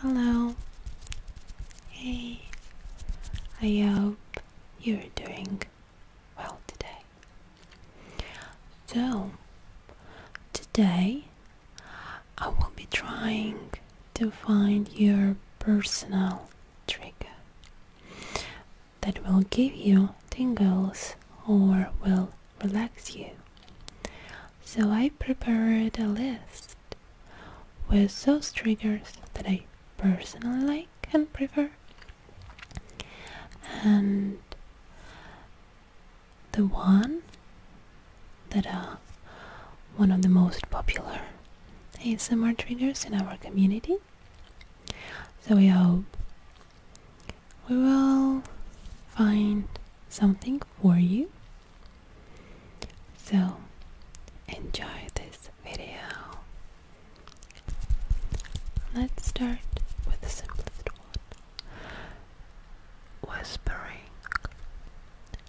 Hello. Hey. I hope you're doing well today. So, today I will be trying to find your personal trigger that will give you tingles or will relax you so I prepared a list with those triggers that I personally like and prefer and the one that are uh, one of the most popular ASMR triggers in our community so we hope we will find something for you so, enjoy this video. Let's start with the simplest one. Whispering,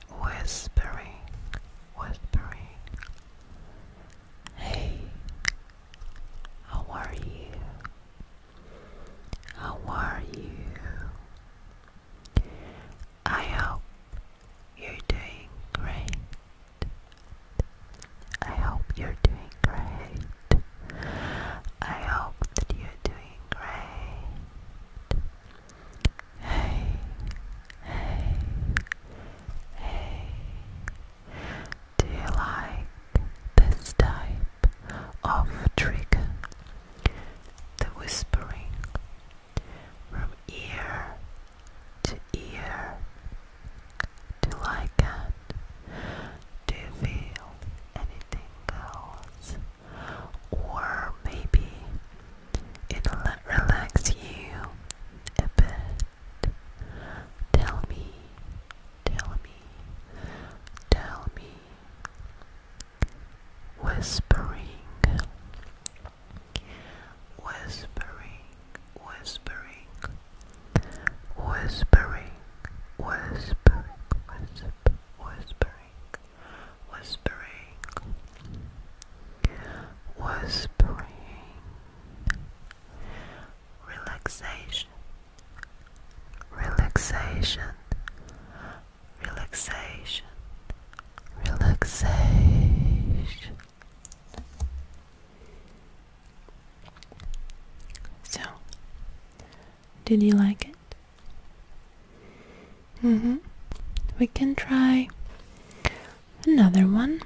whispering, whispering. Hey, how are you? How are you? I hope you're doing great. I hope you're doing great. I hope that you're doing great. Hey, hey, hey. Do you like this type of trigger? the whispering from ear to ear till I can. Do feel anything else? Or maybe it'll relax you a bit. Tell me, tell me, tell me whispering, whispering, whispering, whispering, whispering, whispering, whispering, whispering, whispering, relaxation, relaxation relaxation, relaxation. So, did you like it? Mm hmm. We can try another one.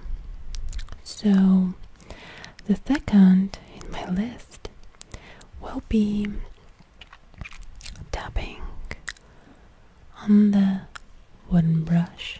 So, the second in my list will be tapping on the wooden brush.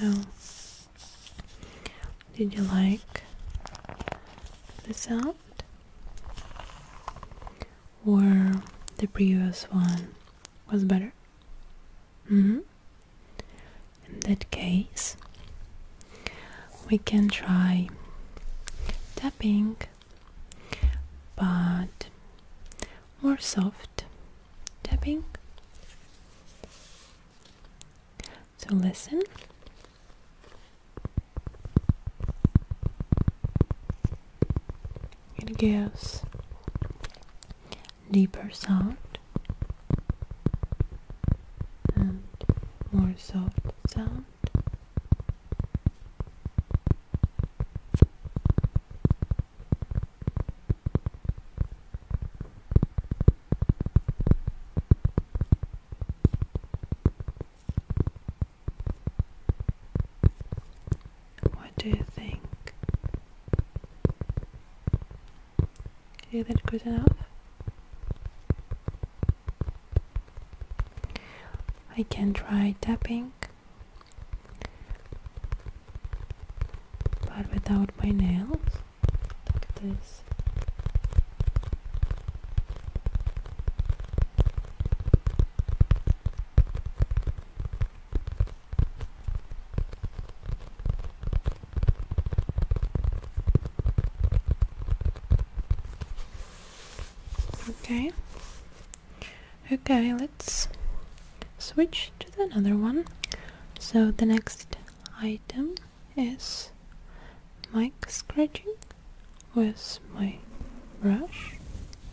So, did you like the sound or the previous one? was better. Mm-hmm. In that case, we can try tapping, but more soft tapping. So listen. It gives deeper sound and more soft sound. What do you think? Is that good enough? I can try tapping, but without my nails. Look at this. Okay. Okay, let's switch to another one. So the next item is mic scratching with my brush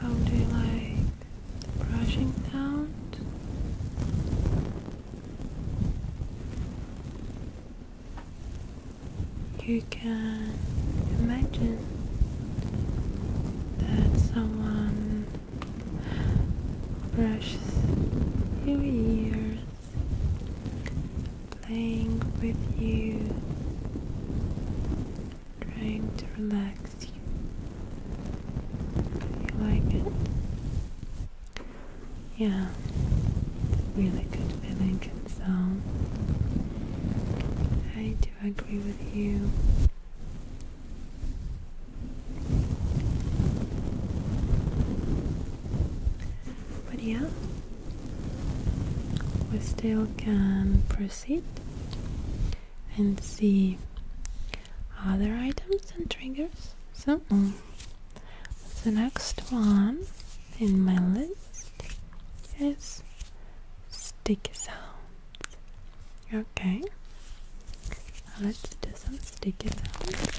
How do you like brushing sound? you can imagine that someone brushes your ears, playing with you, trying to relax you. You like it? yeah, really good feeling and sound. I do agree with you. But yeah, we still can proceed and see other items and triggers. So. The next one in my list is sticky sounds. Okay, let's do some sticky sounds.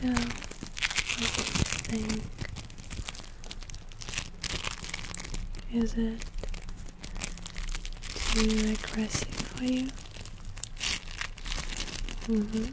So, what do you think? Is it too aggressive for you? Mm-hmm.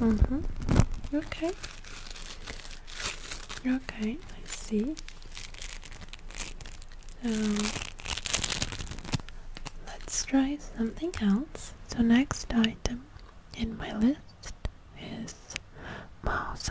Mm-hmm. Okay. Okay, I see. So let's try something else. So next item in my list is mouse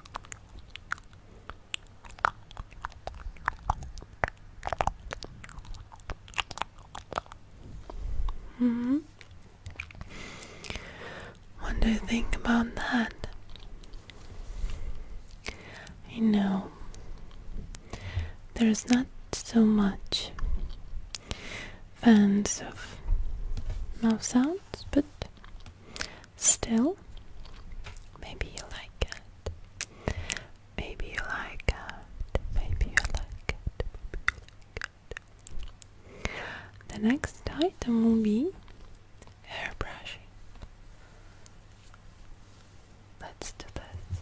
Mm hmm. What think about that? I know there's not so much fans of mouse sounds, but Still, maybe you like it. Maybe you like Maybe you like The next item will be hair Let's do this.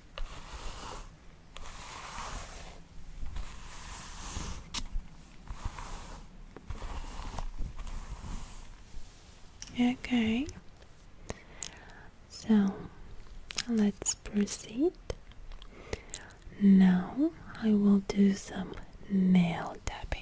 Okay, so let's proceed. Now I will do some nail tapping.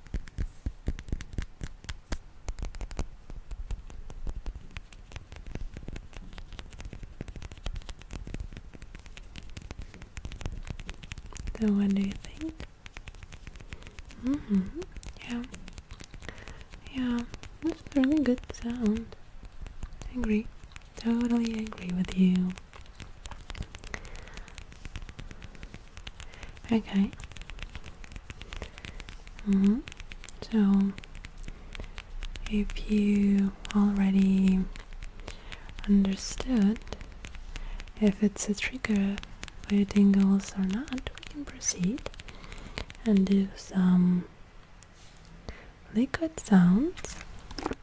No wonder you think? Mm hmm. Yeah. Yeah. That's a really good sound. agree. Totally agree with you. Okay. Mm-hmm. So, if you already understood if it's a trigger for your tingles or not, we can proceed and do some liquid sounds.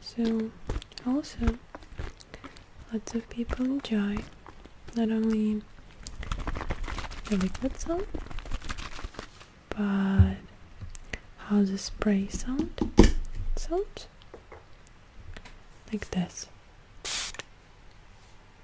So, also, lots of people enjoy not only the liquid sound, but how the spray sound sounds like this.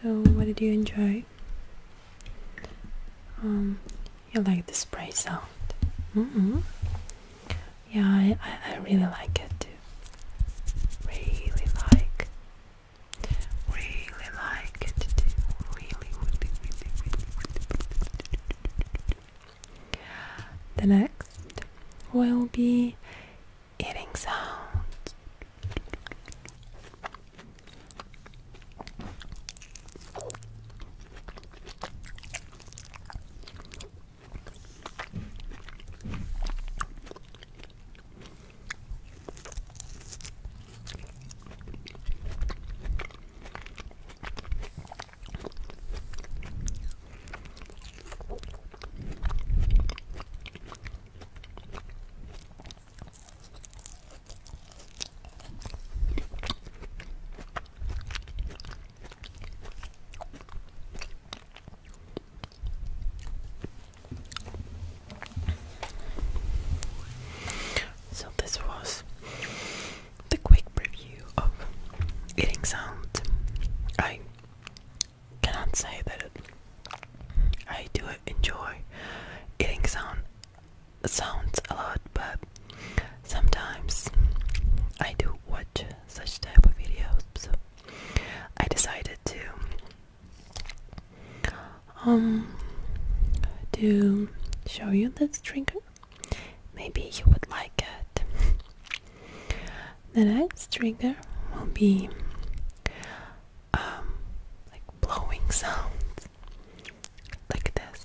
So what did you enjoy? Um, you like the spray sound? Yeah, I, I, really like it too. Really like, really like it The next will be eating sounds. So, this was the quick preview of eating sounds. I cannot say that I do enjoy eating sound sounds a lot, but sometimes I do watch such type of videos. So I decided to um to show you this drinker. Maybe you would like it. The next trigger will be um, like blowing sounds, like this.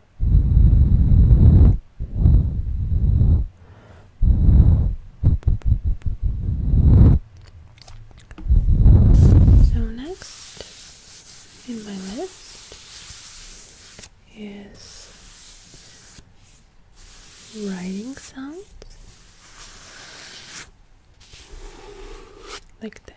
So, next in my list is writing sounds like this.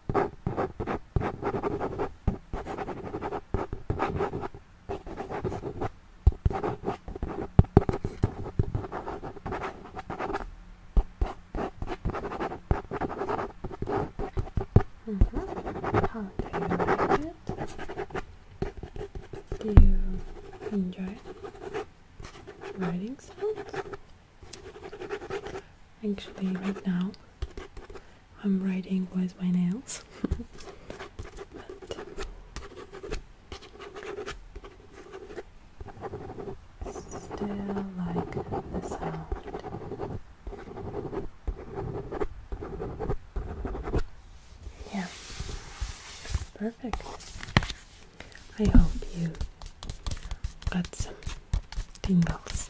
Uh mm-hmm. -huh. How do you Do you enjoy writing songs? Actually, right now I'm writing with my nails. but still like this. sound. Yeah, perfect. I hope you got some tingles.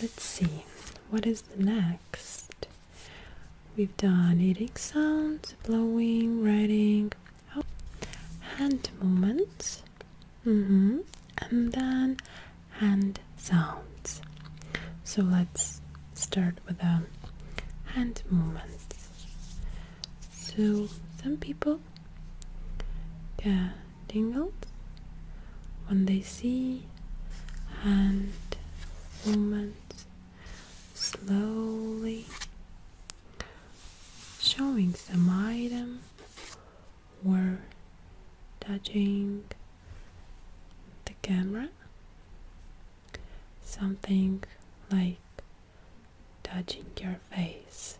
Let's see, what is the next? We've done eating sounds, blowing, writing, oh, hand movements, mm-hmm, and then hand sounds. So let's start with the hand movements. So some people yeah tingled when they see hand movements slowly showing some item or touching the camera something like touching your face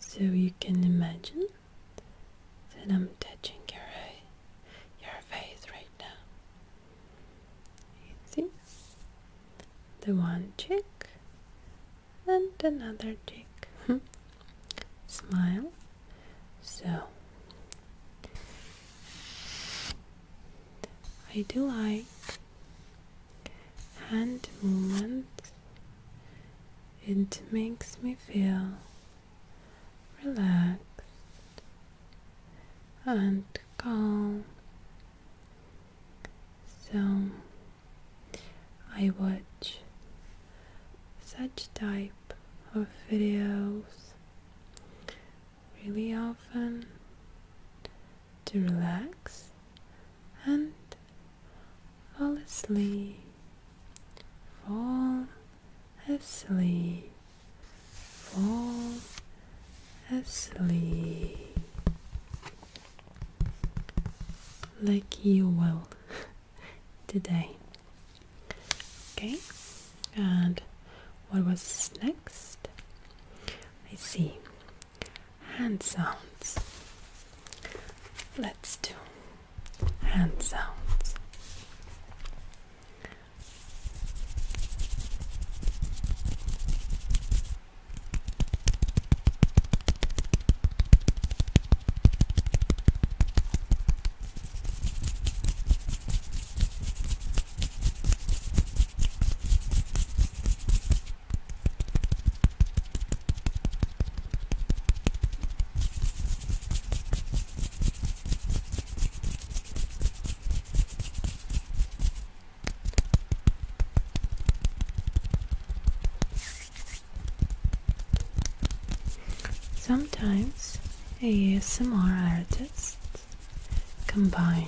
so you can imagine that I'm touching your, your face right now. You see? The one cheek and another cheek. Smile. So, I do like and movement, it makes me feel relaxed and calm. So I watch such type of videos really often to relax and fall asleep, fall asleep, fall asleep. Like you will today. Okay, and what was next? I see hand sounds. Let's do hand sounds. Sometimes ASMR artists combine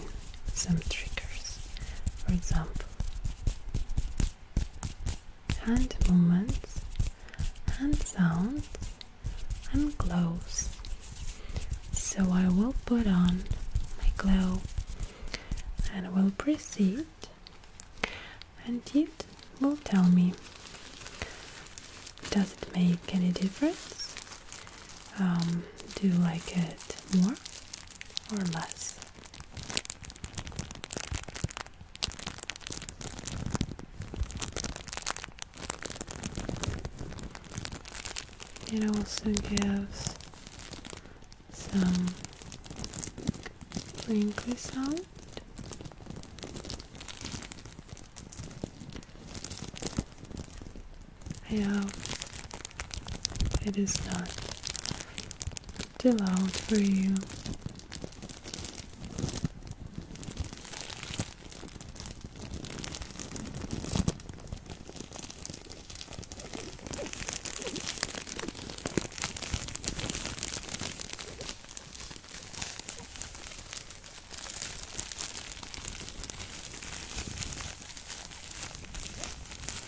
some triggers, for example, and movements, and sounds, and gloves. So I will put on my glow and will proceed, and it will tell me does it make any difference? Um, do you like it more or less? It also gives some crinkly sound. I hope it is not still out for you.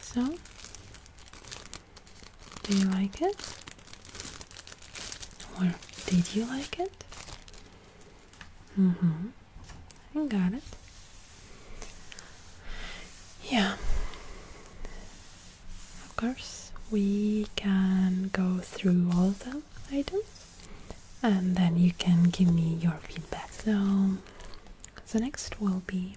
So, do you like it? Or did you like it? Mm-hmm. I got it. Yeah of course, we can go through all the items and then you can give me your feedback. So, the next will be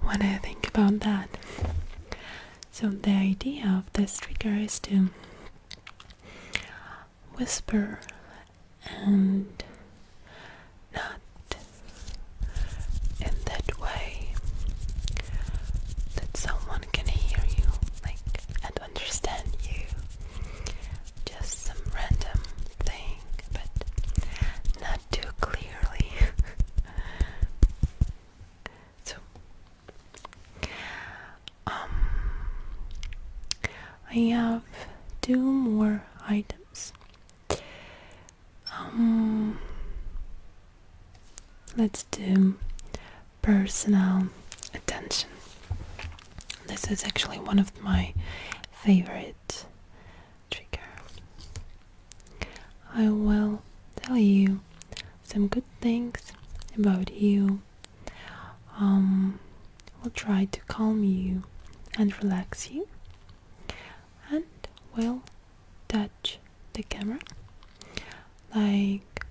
when I think about that, so the idea of this trigger is to whisper and not in that way that someone can hear you like and understand you just some random thing but not too clearly so um I have two more items. Um, let's do personal attention. This is actually one of my favorite trigger. I will tell you some good things about you. Um, will try to calm you and relax you and will touch the camera like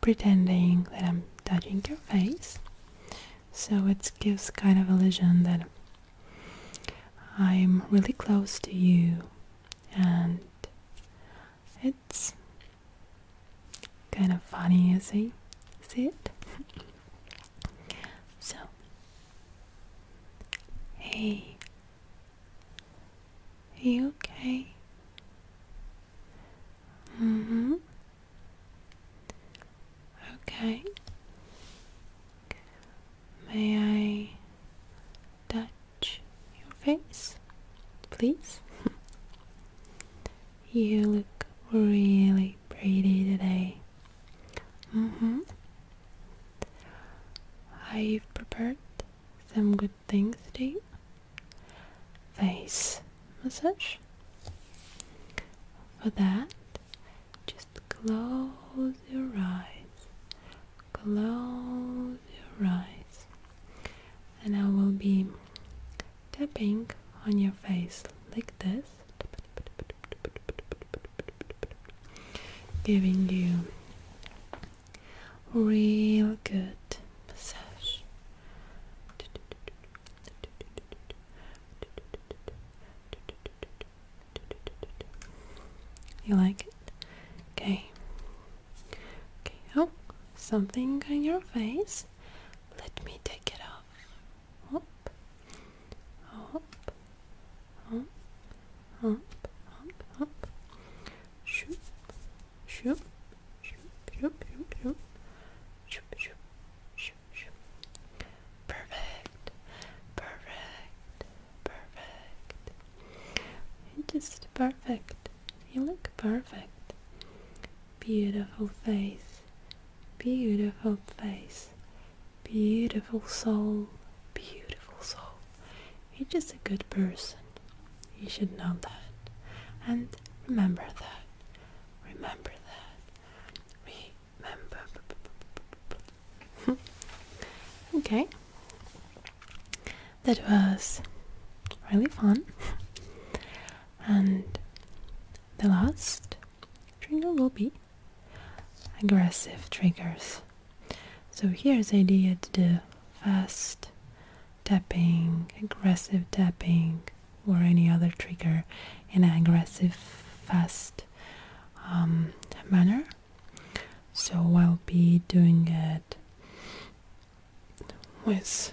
pretending that I'm touching your face so it gives kind of illusion that I'm really close to you and it's kind of funny you see see it So, hey, you okay? Mm hmm. Okay. May I touch your face, please? You look really pretty today. Mm-hmm. I've prepared some good things today. Face massage. For that, just close your eyes. Close your eyes. And I will be tapping on your face like this giving you real good massage. You like it? Okay. Okay, oh, something on your face. Let me take it off hop, hop, hop, hop, hop, hop, shoop, shoop, shoop, shoop, shoop, shoop, shoop, shoop, shoop, shoop. Perfect, perfect, perfect. You're just perfect. You look perfect. Beautiful face, beautiful face, beautiful soul, beautiful soul. You're just a good person. You should know that. And remember that. Remember that. Remember. okay. That was really fun. and the last trigger will be aggressive triggers. So here's idea to do fast tapping, aggressive tapping, or any other trigger in an aggressive, fast um, manner. So I'll be doing it with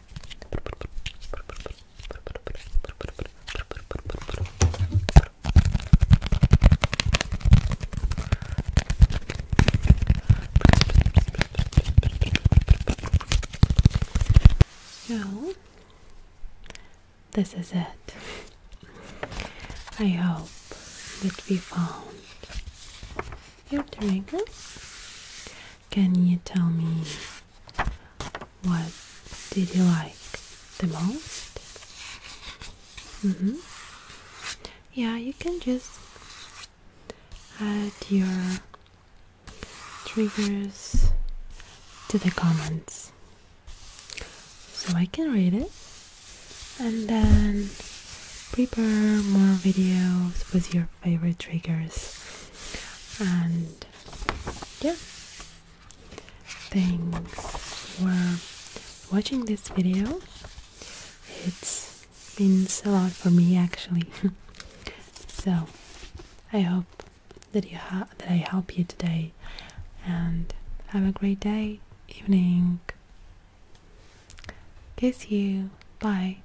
Now, this is it. I hope that we found your triangle can you tell me what did you like the most? Mm-hmm. Yeah, you can just add your triggers to the comments so I can read it and then prepare more videos with your favorite triggers and yeah thanks for watching this video it means a lot for me actually so i hope that you that i help you today and have a great day evening kiss you bye